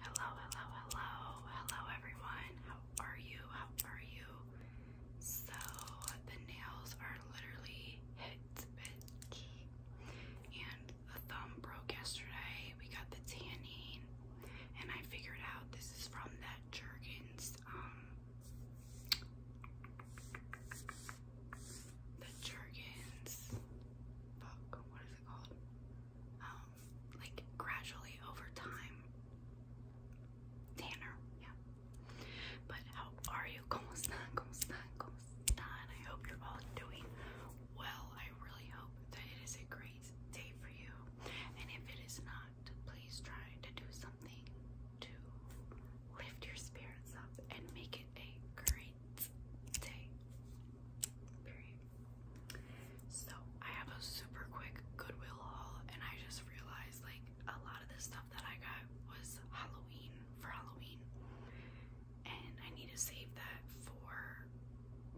Hello, hello, hello, hello everyone. How are you? How are you? So, the nails are literally hit, And the thumb broke yesterday. We got the tanning, and I figured out this is from that Jergens, um, the Jergens, fuck, what is it called? Um, like gradually over time. Tanner, yeah. But how are you? ¿Cómo están? ¿Cómo I hope you're all doing well. I really hope that it is a great day for you. And if it is not, please try to do something to lift your spirits up and make it a great day. Period. So I have a super quick Goodwill haul, and I just realized like a lot of the stuff that I got was Halloween for Halloween, and I need to save that for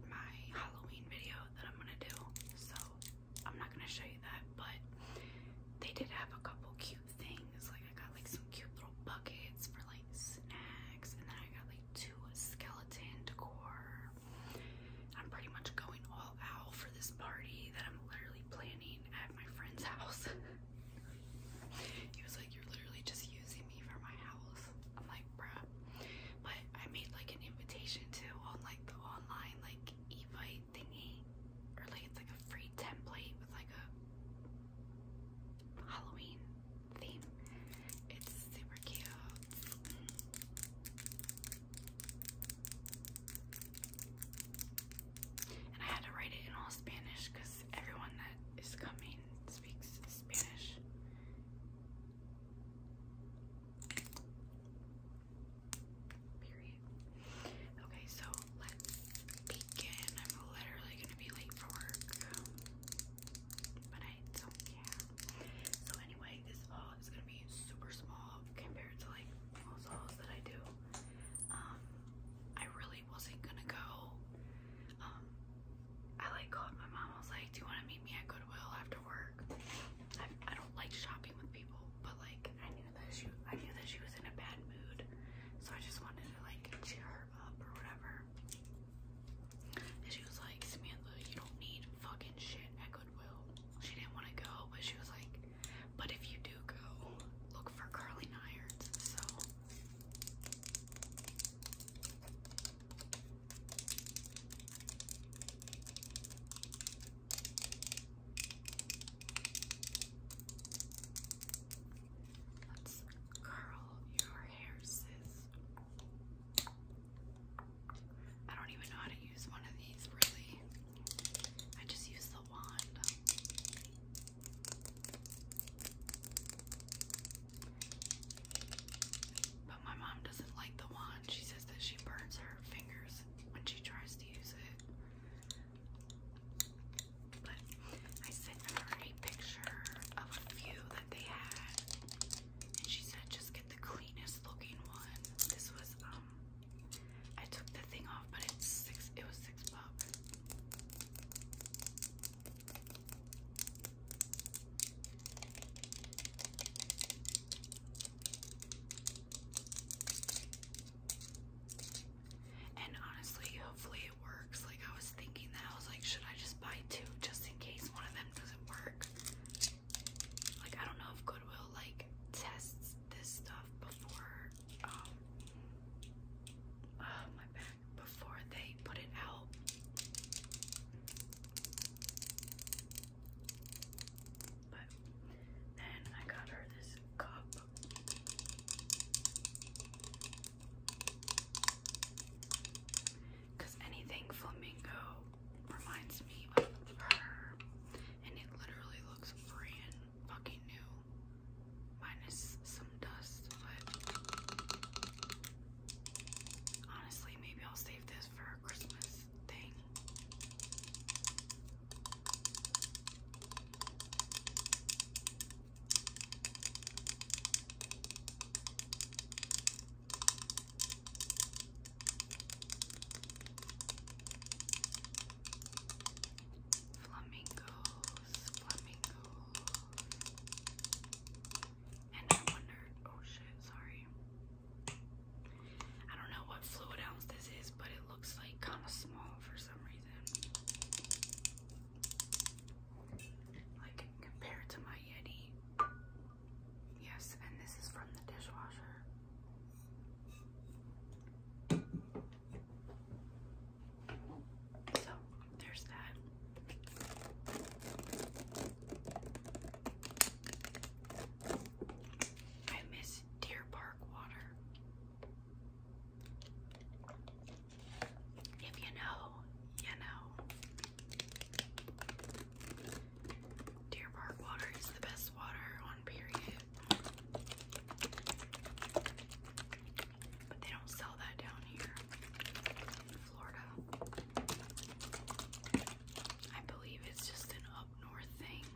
my Halloween video that I'm gonna do. So I'm not gonna show you that, but they did have a couple cute things. Like I got like some cute little buckets for like snacks, and then I got like to skeleton decor. I'm pretty much going all out for this party that I'm literally planning at my friend's house. he was like, You're literally just using me for my house. I'm like, bruh. But I made like an invitation too on like the online like evite thingy. Or like it's like a free template with like a Halloween theme. It's super cute. And I had to write it in all Spanish because everyone that is coming speaks Spanish. Period. Okay, so let's begin. I'm literally gonna be late for work, but I don't care. So anyway, this haul is gonna be super small compared to like most hauls that I do. Um, I really wasn't gonna go. Um, I like called my mom. I was like, "Do you want to meet me at Goodwill after work?" I, I don't like shopping with people, but like I knew that she I knew that she was in a bad mood, so I just wanted to like cheer her up or whatever she was like, Samantha, you don't need fucking shit at Goodwill. She didn't want to go, but she was like, but if you do go, look for curling irons. So curl your hair, sis. I don't even know how to use one of these really. I just use the wand. But my mom doesn't like the wand. She says that she burns her fingers when she tries to use it. But I sent her a picture of a few they had, and she said just get the cleanest looking one. This was um, I took the thing off, but it's six. It was six bucks. And honestly, hopefully it works. Like I was thinking that I was like, should I just buy two just in case one of them doesn't work. Like I don't know if Goodwill like tests this stuff before um, oh my back before they put it out. But then I got her this cup. Because anything flamingo reminds me of her. And it literally looks brand fucking new. Minus some dust, but honestly, maybe I'll save this for a Christmas thing. Flamingos, flamingos. And I wondered, oh shit, sorry. I don't know what fluid ounce this is, but it looks like kind of small for some reason like compared to my Yeti. Yes, and this is from the dishwasher. So there's that. I miss Deer Park water. If you know, you know. Deer Park water is the best water on period. But they don't sell that down here in Florida. I believe it's just an up north thing.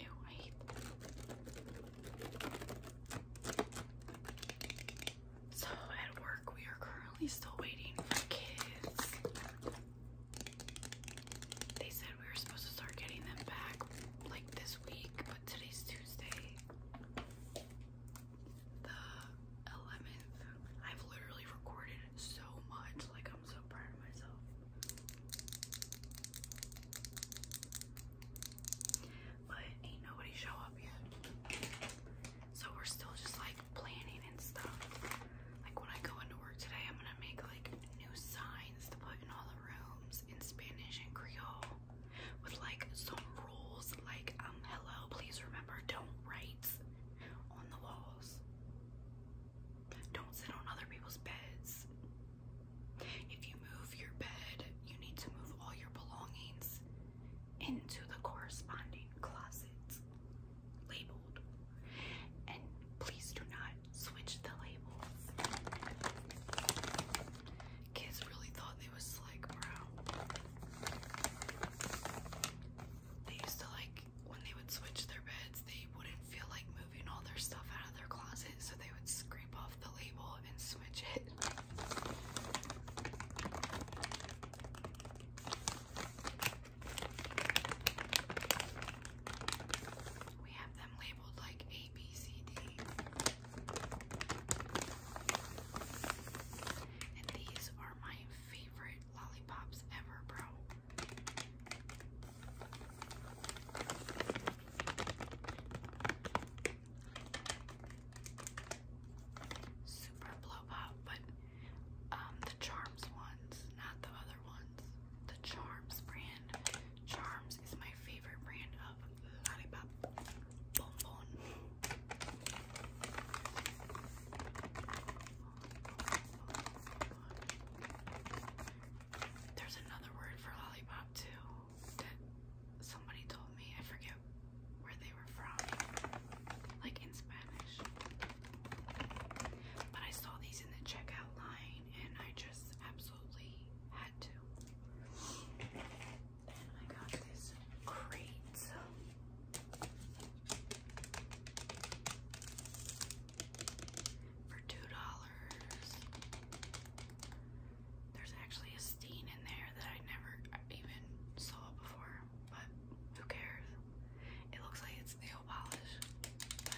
Ew, I hate that. So at work, we are currently still waiting for kids. They said we were supposed to start getting them back like this week, but today's Tuesday, the 11th. I've literally recorded so much, like, I'm so proud of myself. But ain't nobody show up yet. So we're still just like planning and stuff. Like when I go into work today, I'm gonna make like new signs to put in all the rooms in Spanish and Creole with like some rules like um hello please remember don't write on the walls don't sit on other people's beds if you move your bed you need to move all your belongings into the corresponding closet labeled and please do not Switch the labels. Kids really thought they was slick, bro. They used to like when they would switch their beds, they wouldn't feel like moving all their stuff out of their closet, so they would scrape off the label and switch it. We have them labeled like A, B, C, D. And these are my favorite lollipops ever, bro. Super blow pop, but um, the Charms ones, not the other ones. The Charms brand Charms is my favorite brand of lollipop bonbon. There's another word for lollipop too that somebody told me. I forget where they were from, like in Spanish. But I saw these in the checkout line and I just absolutely had to. Then I got this crate. For two dollars. There's actually a steen in there that I never even saw before, but who cares? It looks like it's nail polish, but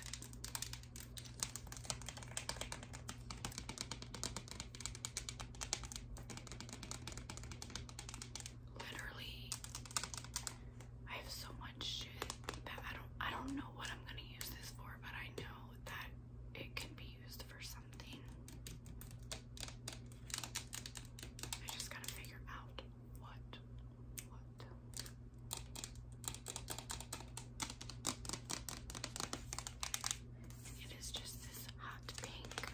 Literally, I have so much shit that I don't I don't know what I'm gonna use this for, but I know that it can be used for something. I just gotta figure out what what it is just this hot pink. Okay,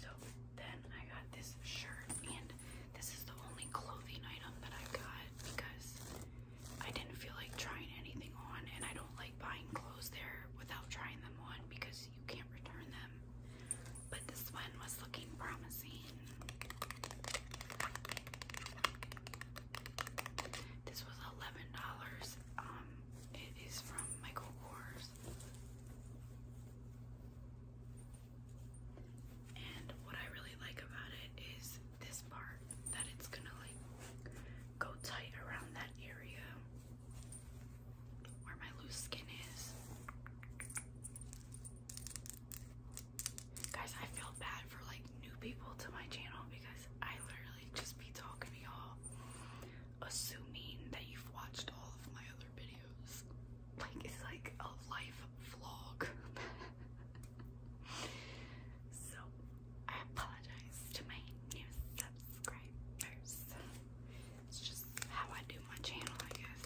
so then I got this shirt, and this is the only clothing item that I got because I didn't feel like trying anything on, and I don't like buying clothes there without trying them on because you can't return them. But this one was looking promising. This was eleven dollars. Um, it is from Michael Kors. And what I really like about it is this part that it's gonna like go tight around that area where my loose skin is. Guys, I feel bad for like new people to my channel because I literally just be talking to y'all assuming that you've watched all of my other videos. Like it's like a life vlog. So I apologize to my new subscribers. It's just how I do my channel, I guess.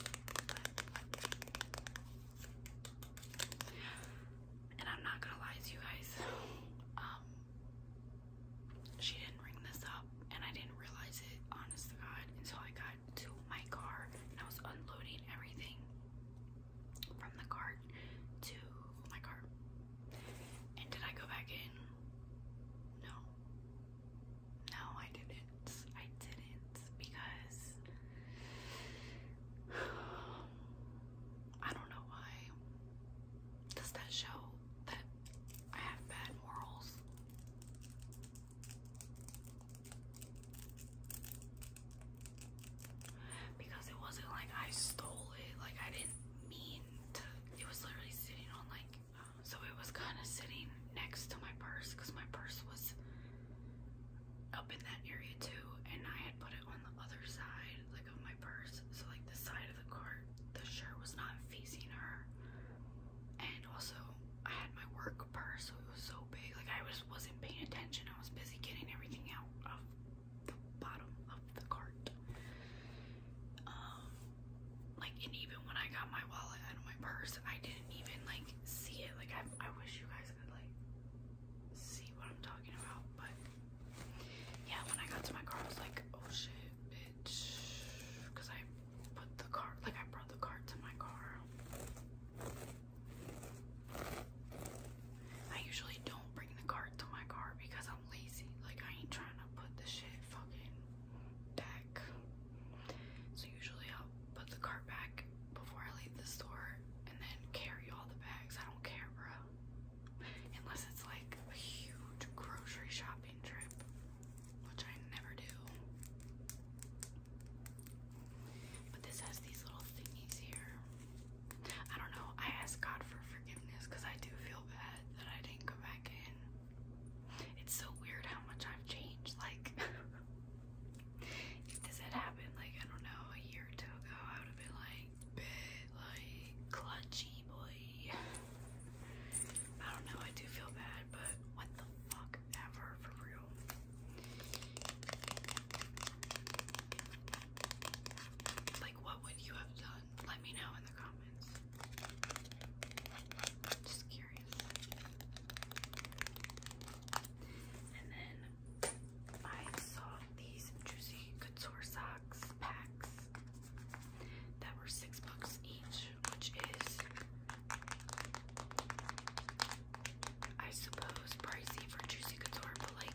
and I'm not gonna lie to you guys. Um, she didn't ring this up, and I didn't realize it, honest to God, until I got to my car and I was unloading everything from the cart to my car. And did I go back in? No. No, I didn't. I didn't because I don't know why. Does that show that I have bad morals? because it wasn't like I stole it. Like I didn't mean to. It was literally sitting on like, so it was kind of sitting next to my purse because my purse was up in that area too, and I had put it on the other side, like of my purse. So like the side of the cart, the shirt was not facing her, and also I had my work purse, so it was so big. Like I was wasn't paying attention. I was busy getting everything out of bottom of the cart. Um, like, and even when I got my wallet out of my purse, I didn't even like see it. Like, I, I wish you guys could like see what I'm talking about, but yeah, when I got to my car, I was like, oh shit, bitch, because I put the cart, like, I brought the cart to my car. I usually don't bring the cart to my car because I am i lazy. Like I ain't trying to put the shit fucking back. So usually I'll put the cart back before I leave the store and then carry all the bags. I don't care, bro. Unless it's like a huge grocery shopping trip, which I never do. But this has these little thingies here. I don't know. I ask God for forgiveness because I do feel bad that I didn't go back in. It's so weird how much I've changed. Like, if this had happened, like, I don't know, a year or two ago, I would have been like, bit, like, clutchy boy. I don't know. I do feel bad, but what the fuck ever, for real. Like, what would you have done? let me know in the comments. Just curious. And then I saw these Juicy Couture socks packs that were six bucks each, which is, I suppose, pricey for Juicy Couture, but like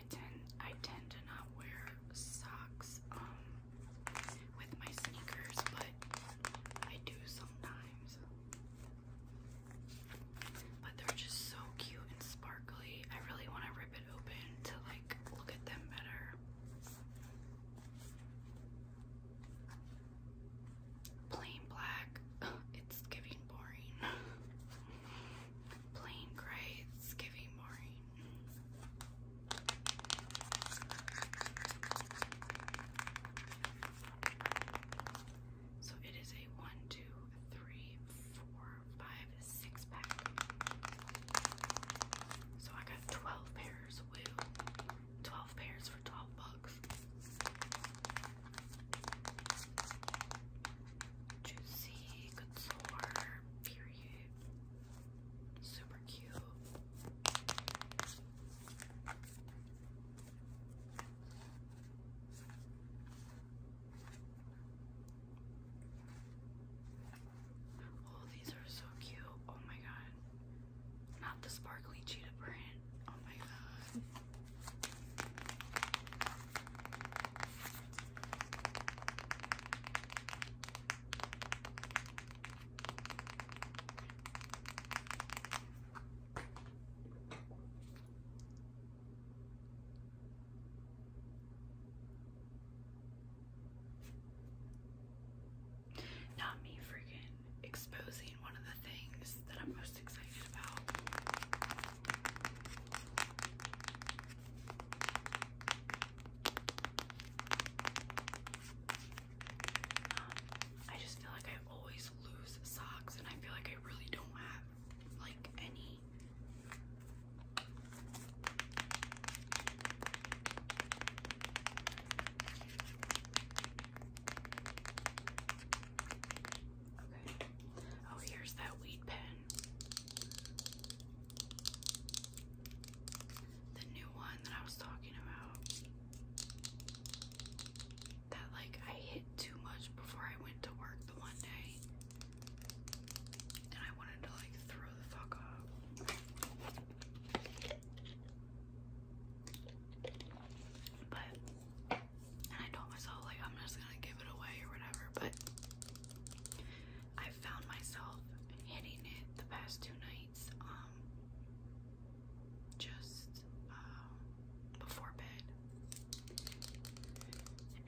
I tend I tend to not wear socks um, with my sneakers, but I do sometimes. But they're just so cute and sparkly. I really want to rip it open to like look at them better. Plain black. It's giving boring. plain gray. It's giving So it is a one, two, three, four, five, six pack. So I got 12 pairs, woo. 12 pairs for 12 bucks. Juicy Couture period. Super cute. Oh, these are so cute. Oh my god. Not the sparkly cheetah print. Oh my god. Not me freaking exposing one of the things that I'm most excited about. I just feel like I always lose socks, and I feel like I really don't have like any. Okay. Oh, here's that weed pen. The new one that I was talking about. That like I hit too much before I went to work the one day. And I wanted to like throw the fuck up. But and I told myself like I'm just gonna give it away or whatever, but I found myself hitting it the past two nights, um, just uh, before bed,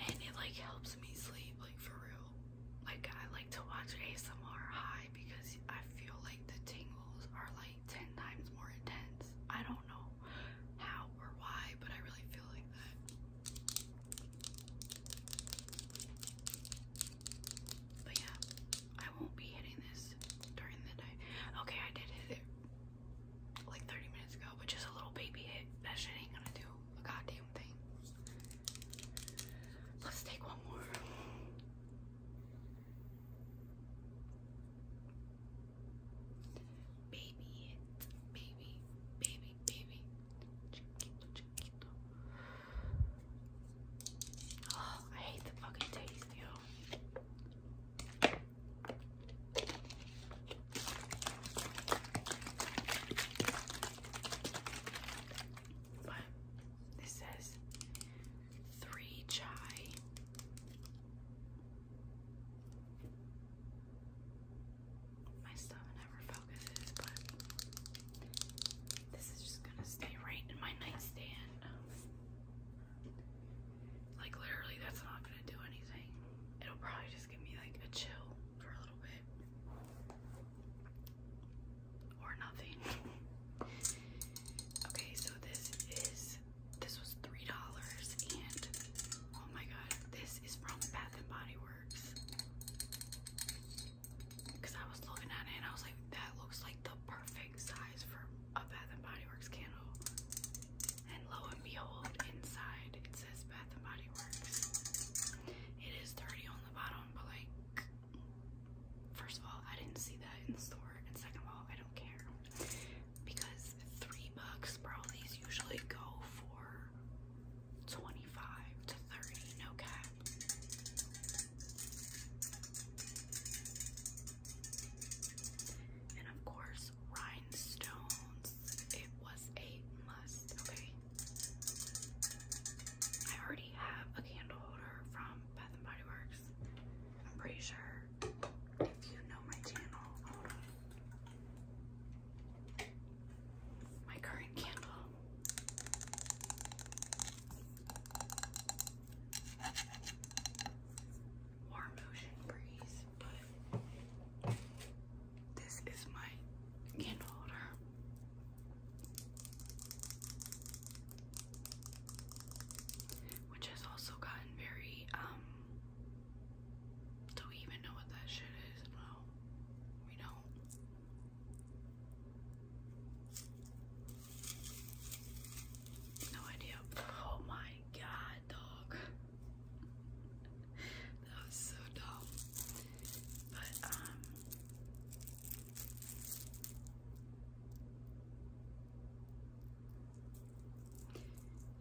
and it like helps me sleep, like for real. Like I like to watch ASMR high because I feel like the tingles are like ten times more intense. I don't know how or why, but I really feel like that. But yeah, I won't be hitting this during the day. Okay, I did hit it like 30 minutes ago, but just a little baby hit. That shit ain't gonna do a goddamn thing. Let's take one more. Baby hit, baby, baby baby, baby. Chiquito, Oh, I hate the fucking taste, yo. But this says three chai my stuff never focuses, but this is just gonna stay right in my nightstand. Like literally, that's not gonna do anything. It'll probably just give me like a chill for a little bit, or nothing. okay, so this is this was three dollars, and oh my god, this is from Bath and Body Works works. Cause I was looking at it and I was like, that looks like the perfect size for a Bath and Body Works candle. And lo and behold, inside it says Bath and Body Works. It is dirty on the bottom, but like, first of all, I didn't see that in the store, and second of all, I don't care because three bucks, bro. These usually go for 25 to 30, no cap. And of course, rhinestones. It was a must, okay? I already have a candle holder from Bath and Body Works. I'm pretty sure if you know my channel, my current candle. Warm ocean breeze, but this is my candle holder. Which has also gotten very um do we even know what that shit is? No, we don't. No idea. Oh my god, dog. that was so dumb. But, um.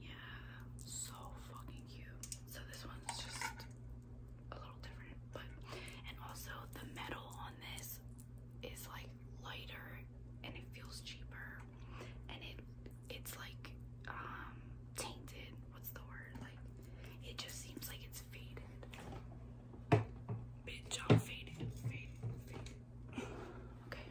Yeah, so fucking cute. So this one's just a little different, but and also the metal on this is like lighter and it feels cheaper and it it's like um, tainted. What's the word? Like it just seems like it's faded. Bitch, I'm faded, faded. okay.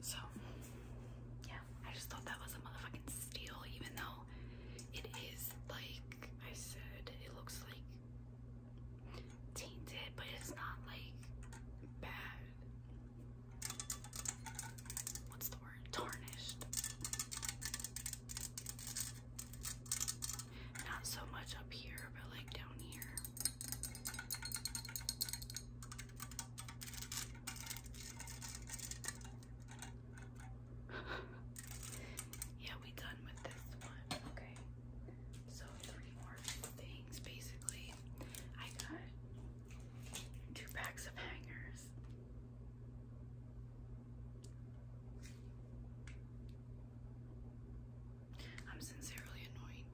So, yeah, I just thought that was a motherfucking steal, even though it is, like I said, it looks like tainted, but it's not like bad. What's the word? Tarnished. Not so much up here, but like down here. yeah, we done with this one. Okay. So three more things basically. I got two packs of hangers. I'm sincerely annoyed,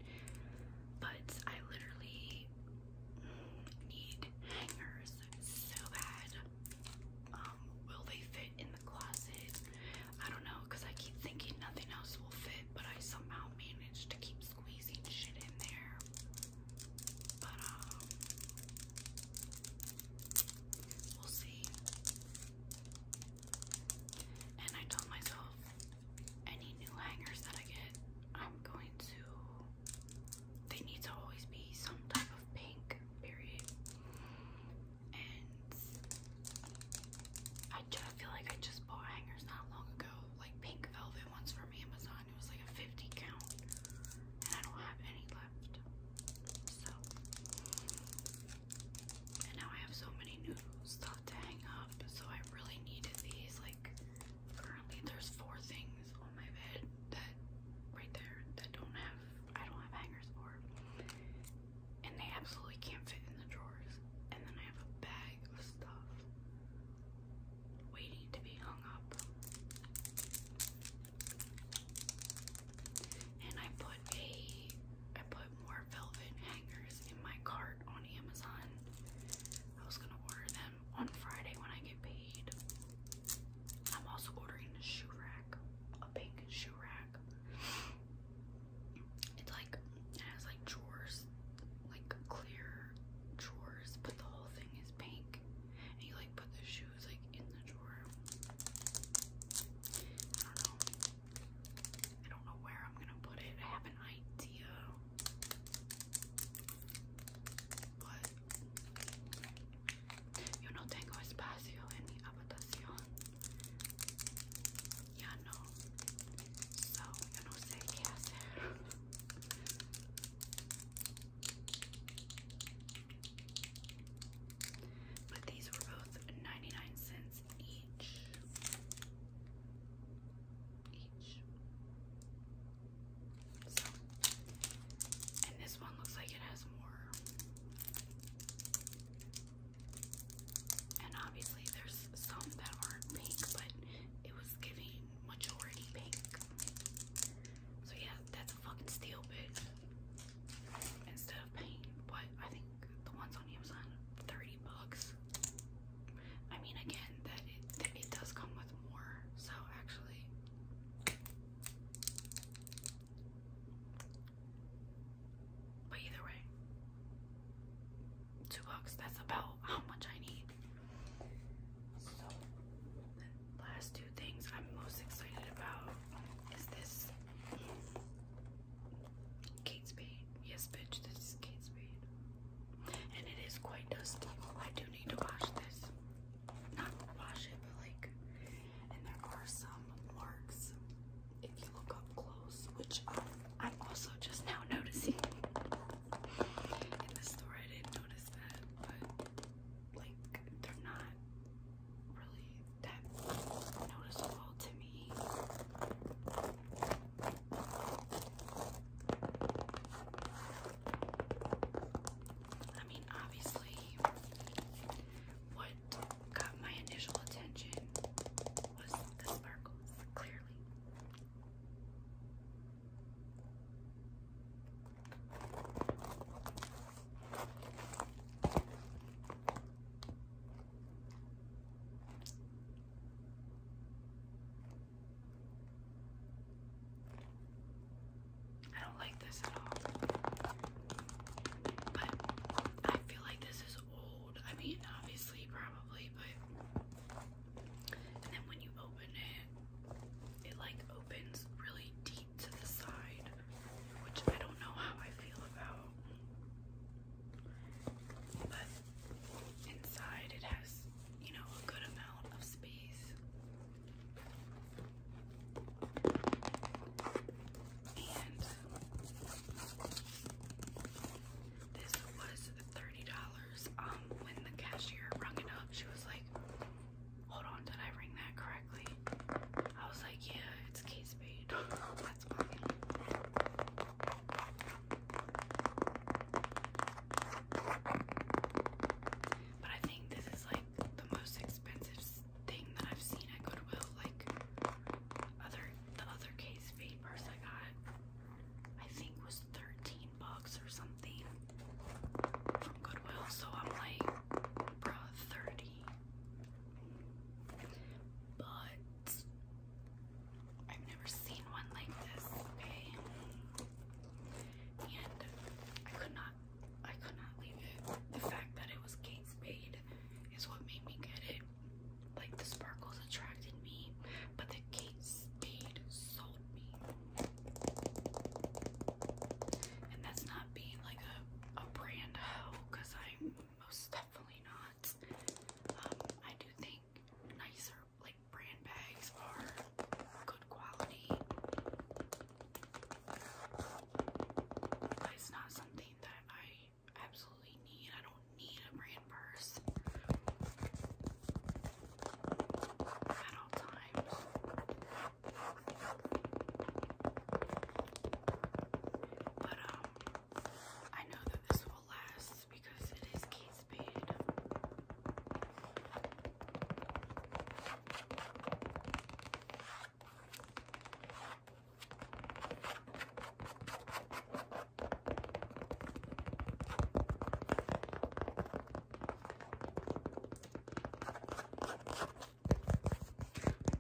but I literally need hangers so bad. Um, will they fit in the closet? I don't know because I keep thinking nothing else will fit, but I somehow manage to keep squeezing shit in there. But, um, we'll see. And I told myself any new hangers that I get, I'm going to, they need to always be some type of pink, period. And I just feel like I just bought hangers not long ago, like pink velvet ones from Amazon. It was like a 50 count, and I don't have any left. So and now I have so many new stuff to hang up, so I really needed these. Like, currently there's four things on my bed that right there that don't have I don't have hangers for. And they absolutely can't fit in the drawers. And then I have a bag of stuff waiting to be hung up. And I put a I put more velvet hangers in my cart on Amazon. I was gonna order them on Friday when I get paid. I'm also ordering a shoe rack, a pink shoe rack. It's like it has like drawers, like clear drawers, but the whole thing is pink. And you like put the shoes like in the drawer. I don't know where I'm gonna put it. I have an idea. But yo no tengo espacio en mi habitación. Ya no. So, yo no sé qué hacer. But these were both 99 cents each. Each. and this one looks like it has more. And obviously, there's some that aren't pink, but it was giving majority pink. So, yeah, that's a fucking steal, bitch. Instead pain, but I think the ones on Amazon, 30 bucks. I mean, again, that it, does come with more, so actually. But either way, two bucks, that's about how much I need. So, last two things I'm most excited about is this. Kate Yes, bitch, this is Kate Spade. And it is quite dusty. I do need to wash this. Not wash it, like, and there are some marks if you look up close, which um, I'm also just now noticing. In the store, I didn't notice that, but like, they're not really that noticeable I mean, obviously, what got my initial attention was the sparkles, clearly. I don't like this at all. But I feel like this is old. I mean, obviously, probably, but. And then when you open it, it like opens really deep to the side, which I don't know how I feel about. But inside it has, you know, a good amount of space. And this was $30 um when the cashier rang it up. She was like, "Hold on, did I ring that correctly?" I was like, "Yeah, it's case paid." But I think this is like the most expensive thing that I've seen at Goodwill. Like other the other case papers I got, I think was thirteen bucks or something from Goodwill. So I'm like, bruh, thirty. But I've never seen one like this, okay? And I could not, I could not leave The fact that it was Kate Spade is what made me get it. Like the sparkles attracted me, but the Kate Spade sold me. And that's not being like a a brand hoe, i I'm most definitely not. Um, I do think nicer like brand bags are good quality. it's not something that I absolutely need. I don't need a brand purse at all times. But um I know that this will last because it is Kate Spade.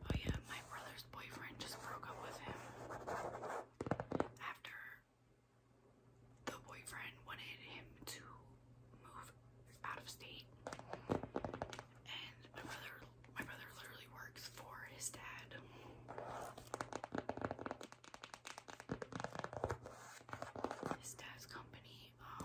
Oh yeah, my brother's boyfriend just broke up with him after the boyfriend wanted him to move out of state. And my brother my brother literally works for his dad. His dad's company, um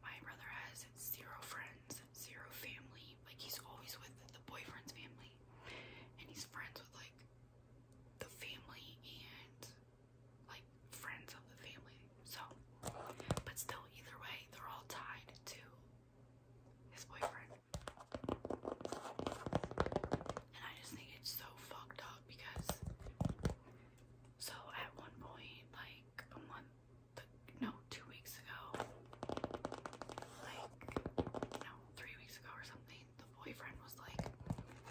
my brother has zero friends, zero family. Like he's always with the boyfriend's family, and he's friends with like the family and like friends of the family. So, but still, either way, they're all tied to his boyfriend. And I just think it's so fucked up because. So at one point, like a month no, two weeks ago, like, no, three weeks ago or something, the boyfriend was like,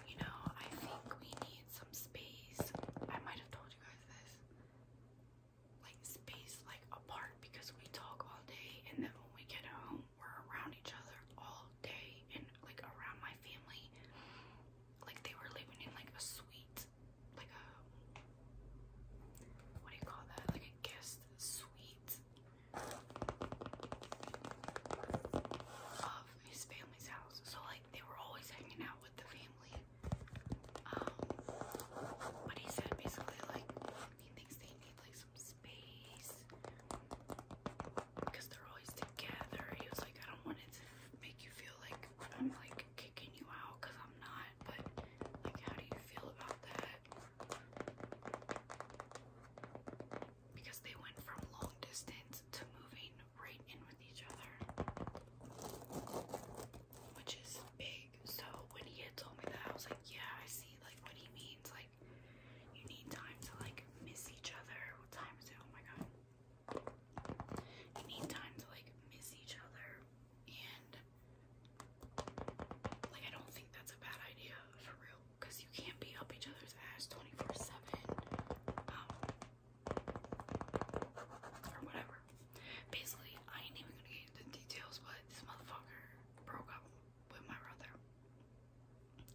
you know, I think we need some space. I might have told you guys this. Like, space, like, apart because we talk all day, and then when we get home, we're around each other all day, and like around my family. Like, they were living in like a suite like a what do you call that? Like a guest suite of his family's house. So like they were always hanging out with the family. Um but he said basically like he thinks they need like some space because they're always together. He was like, I don't want to make you feel like I'm like kicking you out because I'm not, but like, how do you feel about that? Because they went from long distance to moving right in with each other, which is big. So, when he had told me that, I was like, yeah, I see like what he means. Like, you need time to like miss each other. What time is it? Oh my god. You need time to like miss each other and like, I don't think that's a bad idea for real, because you can't be up each other's ass 24 7 um, or whatever. Basically, I ain't even gonna get into the details, but this motherfucker broke up with my brother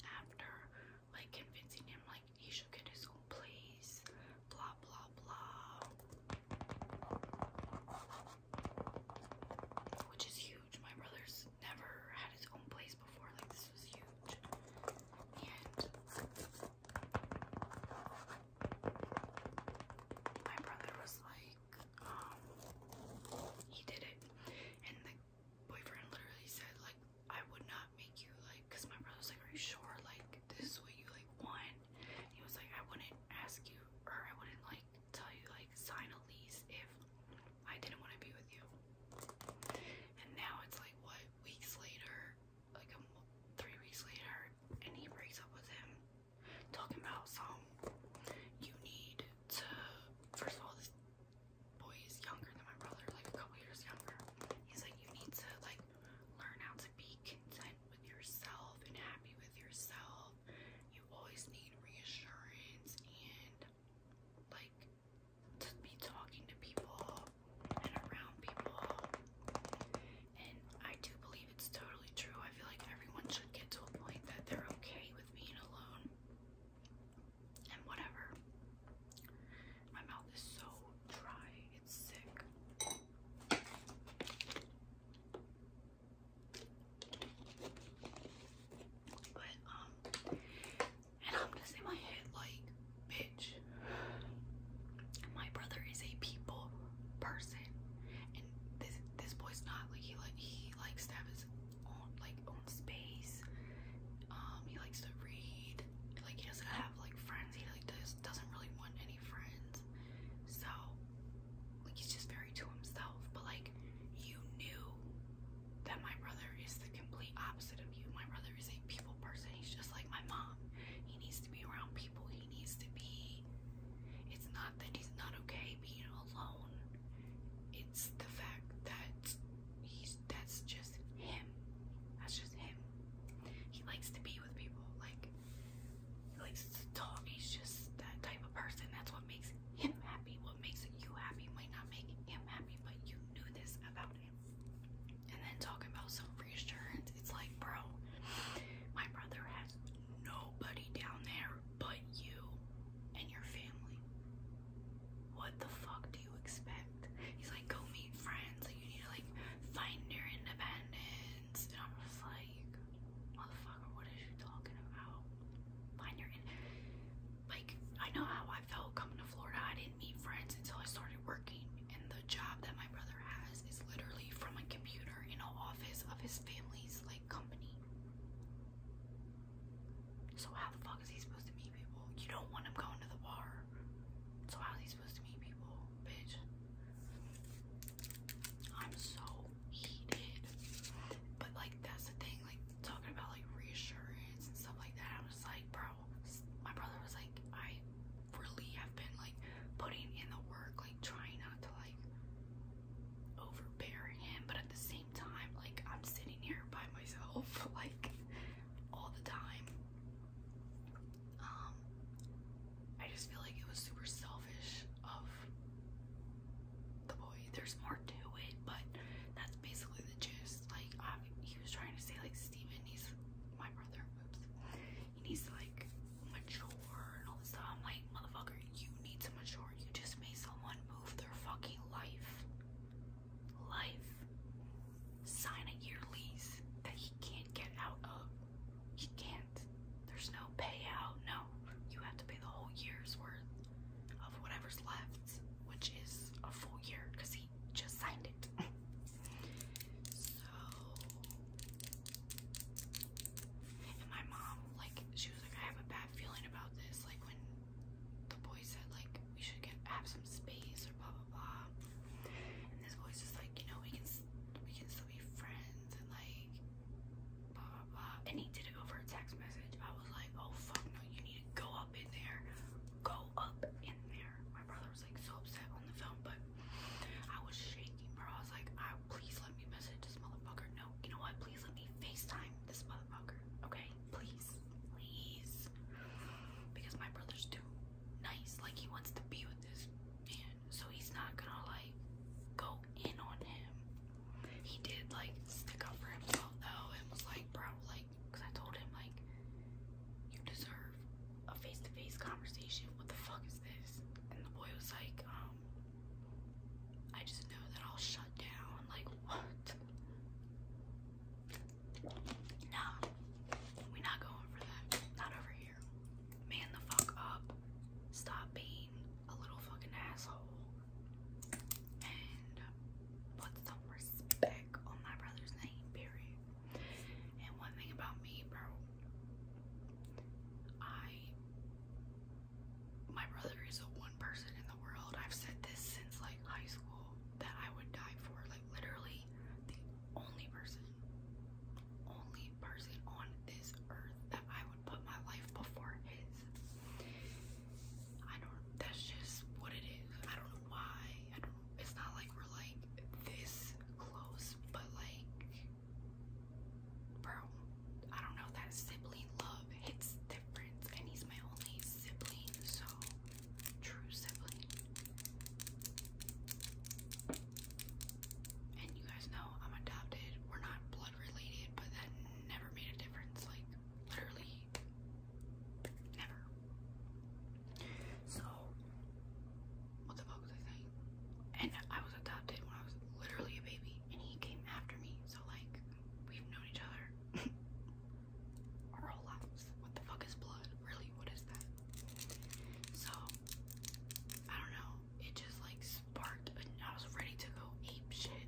after like convincing him like he should get his own place blah blah blah. Which is huge. My brother's never had his own place before, like this was huge. And my brother was like, um, he did it. And the boyfriend literally said, like, I would not make you, like, because my brother was like, are you sure, like, this is what you, like, want? He was like, I wouldn't ask you, or I wouldn't like tell you, like, sign a lease if I didn't want to be with you. And now it's like, what, weeks later, like three weeks later, and he breaks up with him. Talking about some, you need to, first of all, this boy is younger than my brother, like a couple years younger. He's like, you need to, like, learn how to be content with yourself and happy with yourself. You always need reassurance and like to be talking to people and around people. And I do believe it's totally true. I feel like everyone should get to a point that they're okay with being alone and whatever. My mouth is so dry sick. But um and I'm just in my head like bitch my brother is a people person and this this boy's not like he like he likes to have his own like own space. Um he likes to read like he doesn't have like friends he like does, doesn't really want any friends so like he's just very to himself, but like you knew that my brother is the complete opposite of you. My brother is a people person. He's just like my mom. He needs to be around people. He needs to be it's not that he's not okay being alone. It's the fact that he's that's just him. That's just him. He likes to be with people. Like like like Tom he's just that type of person. That's what makes him happy. What makes you happy might not make him happy, but you knew this about him. And then talking about some reassurance, it's like, bro, my brother has nobody down there but you and your family. What the fuck do you expect? He's like, go meet friends. Like you need to like find your independence. And I'm just like like, motherfucker, what is you talking about? Find your in. Like, I know how I felt coming to Florida. I didn't meet friends until I started working, and the job that my brother has is literally from a computer in an office of his family's like company. So how the fuck is he supposed to meet people? You don't want him going to the bar. So how is he supposed to meet people, bitch? I'm so heated. But like that's the thing, like talking about like reassurance and stuff like that. I was like, bro, my brother was like, I really have been like putting in the work, like trying not to like overbear him, but at the same time, like I'm sitting here by myself, like all the time. Um, I just feel like it was super selfish of the boy. There's more to it, but that's basically the gist. Like, he was trying to say, like, Steven he's my brother. Oops. He needs to, like, mature and all this stuff. I'm like, motherfucker, you need to mature. You just made someone move their fucking life. Life. Sign a year lease that he can't get out of you can't. There's no payout. No, you have to pay the whole year's worth of whatever's left, which is a full year because he just signed it. so, and my mom, like, she was like, I have a bad feeling about this. Like, when the boy said, like, we should get have some space or blah blah blah, and this boy's just like, you know, we can we can still be friends and like blah blah blah. And he did it over a text message. I was like, oh fuck no, you need to go up in there. Go up in there. My brother was like so upset on the phone, but I was shaking, bro. I was like, I ah, please let me message this motherfucker. No, you know what? Please let me FaceTime this motherfucker. Okay? Please. Please. Because my brother's too nice. Like he wants to be with this man so he's not gonna like go in on him. He did like stick up for himself though and was like, bro, like, cause I told him like, you deserve a face-to-face conversation. What the fuck is this? And the boy was like, um, I just know that I'll shut down. Like, what? Nah, we're not going for that. Not over here. Man the fuck up. Stop being a little fucking asshole. And put some respect on my brother's name, period. And one thing about me, bro, I my brother is the one person in the world. I've said this since like high school that I would die for. Like literally the only person only person on this earth that I would put my life before his. I don't, that's just what it is. I don't know why. I it's not like we're like this close, but like, bro, I don't know. That sibling love hits different, and he's my only sibling, so true sibling. And you guys know I'm adopted. We're not blood related, but that never made a difference. Like, literally, never. So, what the fuck was I saying? And I was adopted when I was literally a baby, and he came after me. So, like, we've known each other our whole lives. What the fuck is blood? Really, what is that? So, I don't know, it just like sparked, and I was ready to go ape shit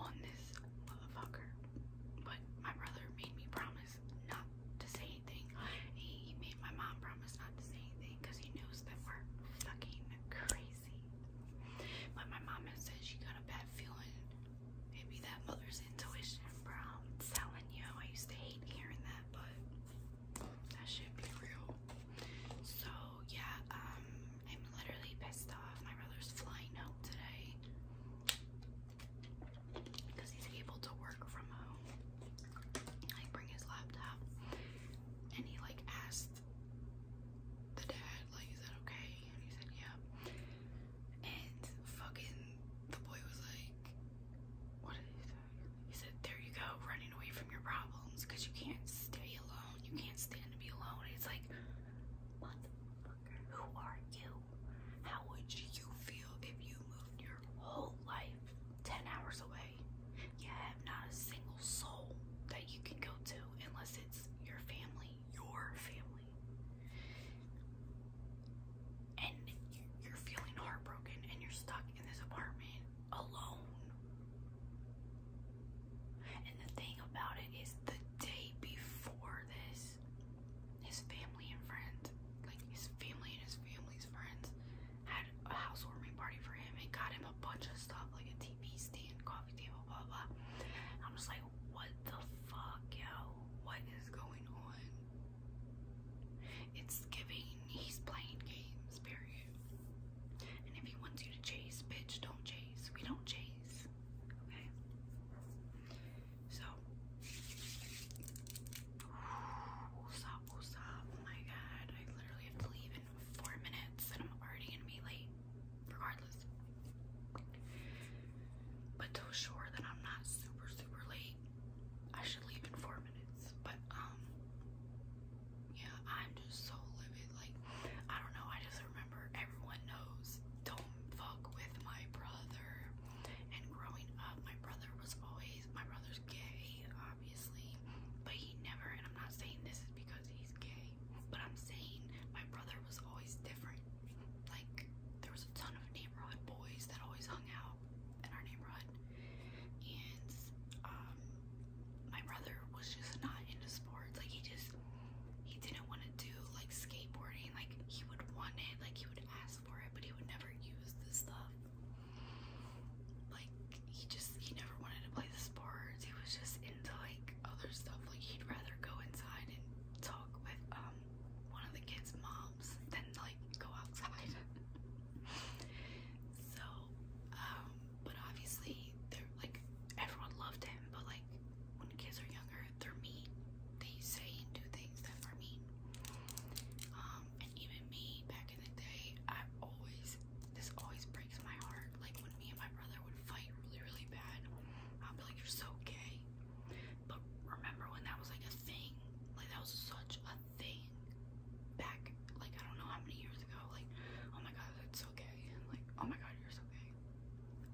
on this motherfucker. But my brother made me promise not to say anything. He made my mom promise not to say anything because he knows that we're fucking crazy. But my mom has said she got a bad feeling. Maybe that mother's intuition, bro. telling you, I used to hate hearing that, but that should be real. So yeah, um, I'm literally pissed off. My brother's flying out today because he's able to work from home. I bring his laptop, and he like asked the dad, like, is that okay? And he said, yeah. And fucking the boy was like, what did he say? He said, there you go, running away from your problems because you can't stay alone. You can't stand to be alone. it's like, what the motherfucker, who are you? How would you feel if you moved your whole life 10 hours away? You have not a single soul that you can go to unless it's your family, your family. And you're feeling heartbroken and you're stuck in this apartment alone. And the thing about it is, the day before this, his family and friends, like his family and his family's friends, had a housewarming party for him and got him a bunch of stuff, like a TV stand, coffee table, blah blah. I'm just like, what the fuck, yo? What is going on? It's giving he's playing games, period. And if he wants you to chase, bitch, don't chase. We don't chase. Okay? So what's up, Oh my god, I literally have to leave in four minutes and I'm already going be late, regardless. But to assure that I'm not super, super late, I should leave in four minutes. But um yeah, I'm just so livid. Like, I don't know, I just remember everyone knows don't fuck with my brother. And growing up, my brother was always my brother's gay, obviously. But he never and I'm not saying this is because he's gay, but I'm saying my brother was always different. Like there was a ton of neighborhood boys that always hung out in our neighborhood, and um, my brother was just not into sports. Like he just he didn't want to do like skateboarding. Like he would want it, like he would ask for it, but he would never use the stuff. Like he just he never wanted to play the sports. He was just into like other stuff. Like he'd rather go inside and talk with um one of the kids' moms than like go outside. So, um, but obviously they're like everyone loved him, but like when kids are younger, they're mean. They say and do things that are mean. Um, and even me back in the day, I always this always breaks my heart. Like when me and my brother would fight really, really bad, I'd be like, You're so gay. But remember when that was like a thing? Like that was such a thing back like I don't know how many years ago. Like, oh my god, that's so like, oh my god, you're so gay.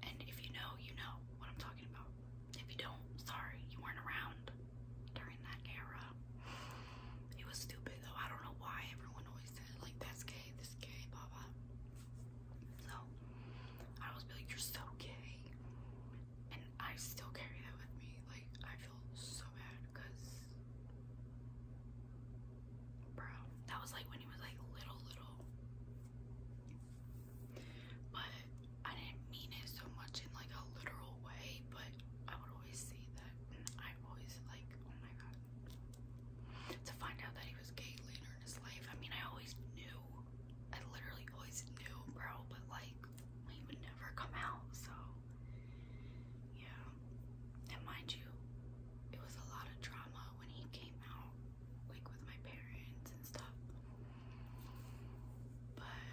And if you know, you know what I'm talking about. If you don't, sorry, you weren't around during that era. It was stupid though. I don't know why everyone always said like that's gay, this gay, blah blah. So I always be like, you're so gay, and I still carry that with me. Like I feel so bad because Bro, that was like when he was like little, little. But I didn't mean it so much in like a literal way, but I would always say that. i always like, oh my god. To find out that he was gay later in his life, I mean, I always knew. I literally always knew, bro, but like, he would never come out. So, yeah. And mind you, it was a lot of drama when he came out, like with my parents and stuff. But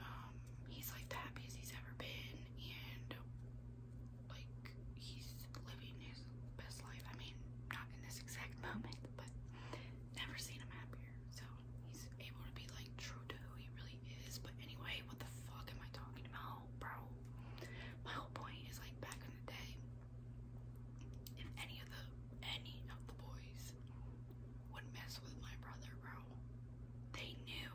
um, he's like that happiest he's ever been, and like he's living his best life. I mean, not in this exact moment, but never seen him happier. So he's able to be like true to who he really is. But anyway, what the fuck am I talking about, bro? My whole point is like back in the day, if any of the any of the boys would mess with my brother, bro, they knew.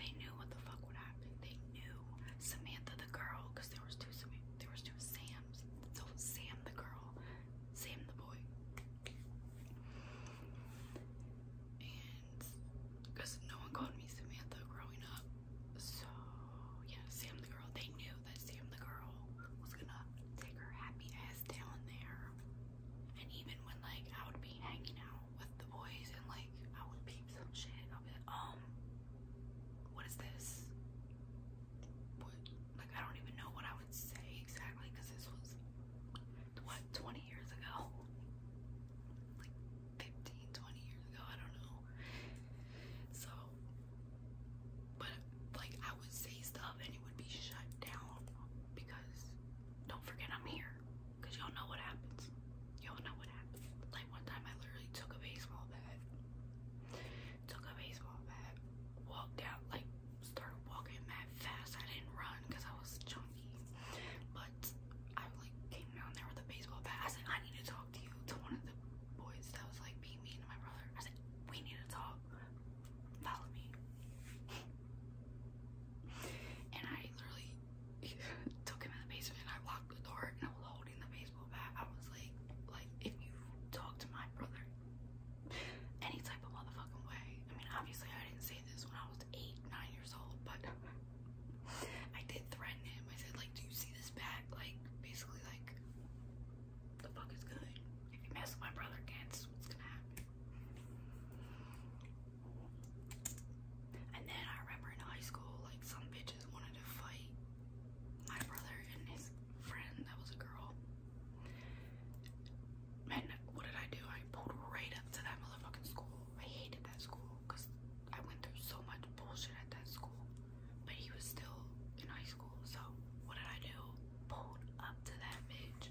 They knew what the fuck would happen. They knew Samantha the girl, because there was two Samantha there was two Sams. So Sam the girl, Sam the boy and because no one called me Samantha growing up, so yeah, Sam the girl. They knew that Sam the girl was gonna take her happy ass down there, and even when like I would be hanging out with the boys and like I would peep some shit, I'll be like, um, what is this? What? Like I don't even know what I would say exactly because this was what, 20 years ago? Like 15, years ago, I don't know. So, but like I would say stuff and it would be shut down because don't forget I'm here. Because y'all know what happens. Y'all know what happens. Like one time I literally took a baseball bat, took a baseball bat, walked out, like started walking mad fast. I didn't run because I was chunky. But I like came down there with a baseball bat. I said, I need to talk to you to one of the boys that was like being mean to my brother. I said, we need to talk. Follow me. and I literally took him in the basement I locked the door and I was holding the baseball bat. I was like, like if you talk to my brother any type of motherfucking way. I mean obviously I didn't say this when I was eight, nine years old, but I did threaten him. I said, like, do you see this bat? Like, basically, like, the fuck is good? If you mess with my brother again, this is what's gonna happen. And then I remember in high school, like, some bitches wanted to fight my brother and his friend that was a girl. And what did I do? I pulled right up to that motherfucking school I hated that school because I went through so much bullshit at that school. But he was still in high school, so what did I do? Pulled up to that bitch.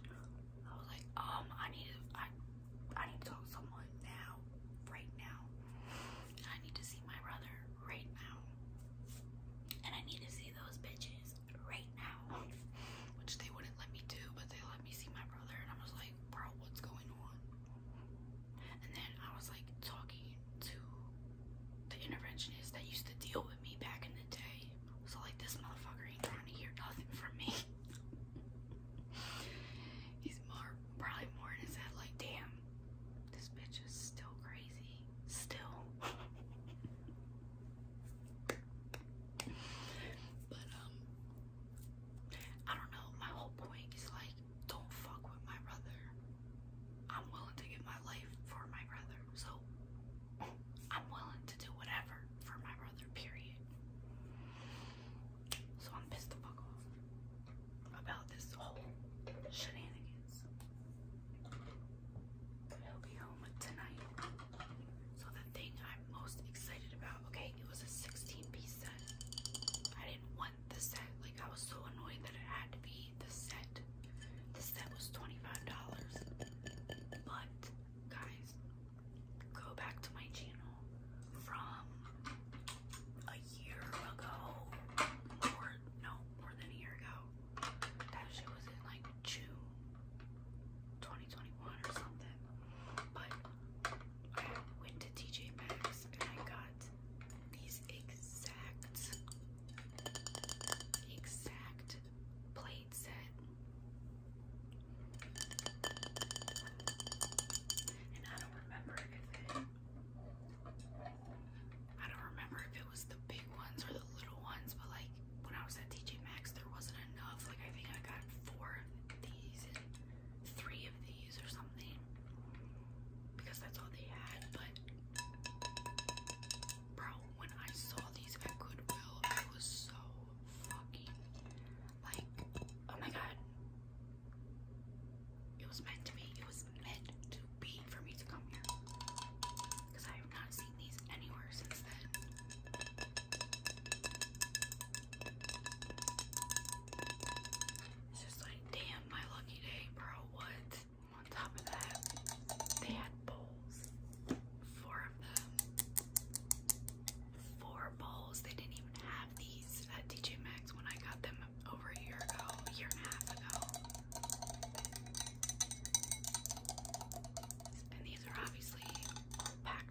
I was like, um, I need to, I, I need to talk to someone now, right now. I need to see my brother right now. And I need to see those bitches right now. Which they wouldn't let me do, but they let me see my brother, and I was like, bro, what's going on? And then I was like talking to the interventionist that used to deal with me back in the day. So like this motherfucker ain't trying to hear nothing from me. He's more probably more in his head like, damn, this bitch is still crazy. Still. but um I don't know. My whole point is like, don't fuck with my brother. I'm willing to give my life for my brother. So I'm willing to do whatever for my brother, period. So I'm pissed the fuck off about this whole shenanigans. He'll be home tonight. So the thing I'm most excited about, okay, it was a 16-piece set. I didn't want the set. Like I was so annoyed that it had to be the set. The set was $25. But guys, go back to my channel from a year ago. Or no, more than a year ago. That was in like June. 2021 or something. But I went to TJ Maxx and I got these exact, exact plate set. And I don't remember I don't remember if it was the big ones or the little ones, but like when I was at TJ Maxx, wasn't enough. Like, I think I got four of these three of these or something because that's all they had. But, bro, when I saw these at Goodwill, I was so fucking like, oh my god. It was meant to be. It was meant to be for me to come here. Because I have not seen these anywhere since then. It's just like, damn, my lucky day, bro. What? On top of that, they had bowls. Four of them. Four bowls. They didn't even have these at DJ Maxx when I got them over a year ago, year and a half ago. And these are obviously all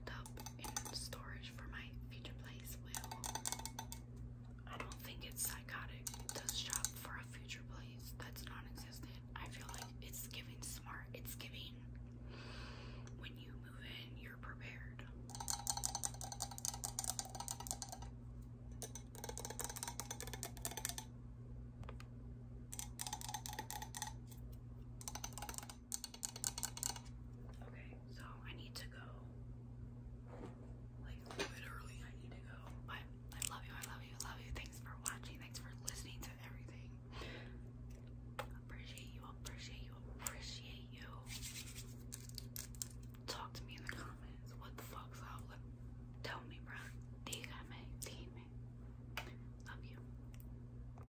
up in storage for my future place will I don't think it's psychotic to shop for a future place that's non-existent. I feel like it's giving smart. It's giving when you move in, you're prepared. Okay, so I need to go. Like literally, I need to go. But I love you. I love you. I love you. Thanks for watching. Thanks for listening to everything. Appreciate you. Appreciate you. Appreciate you. Talk to me in the comments. What the fuck's up? tell me, bro. Dígame. Dime. Love you.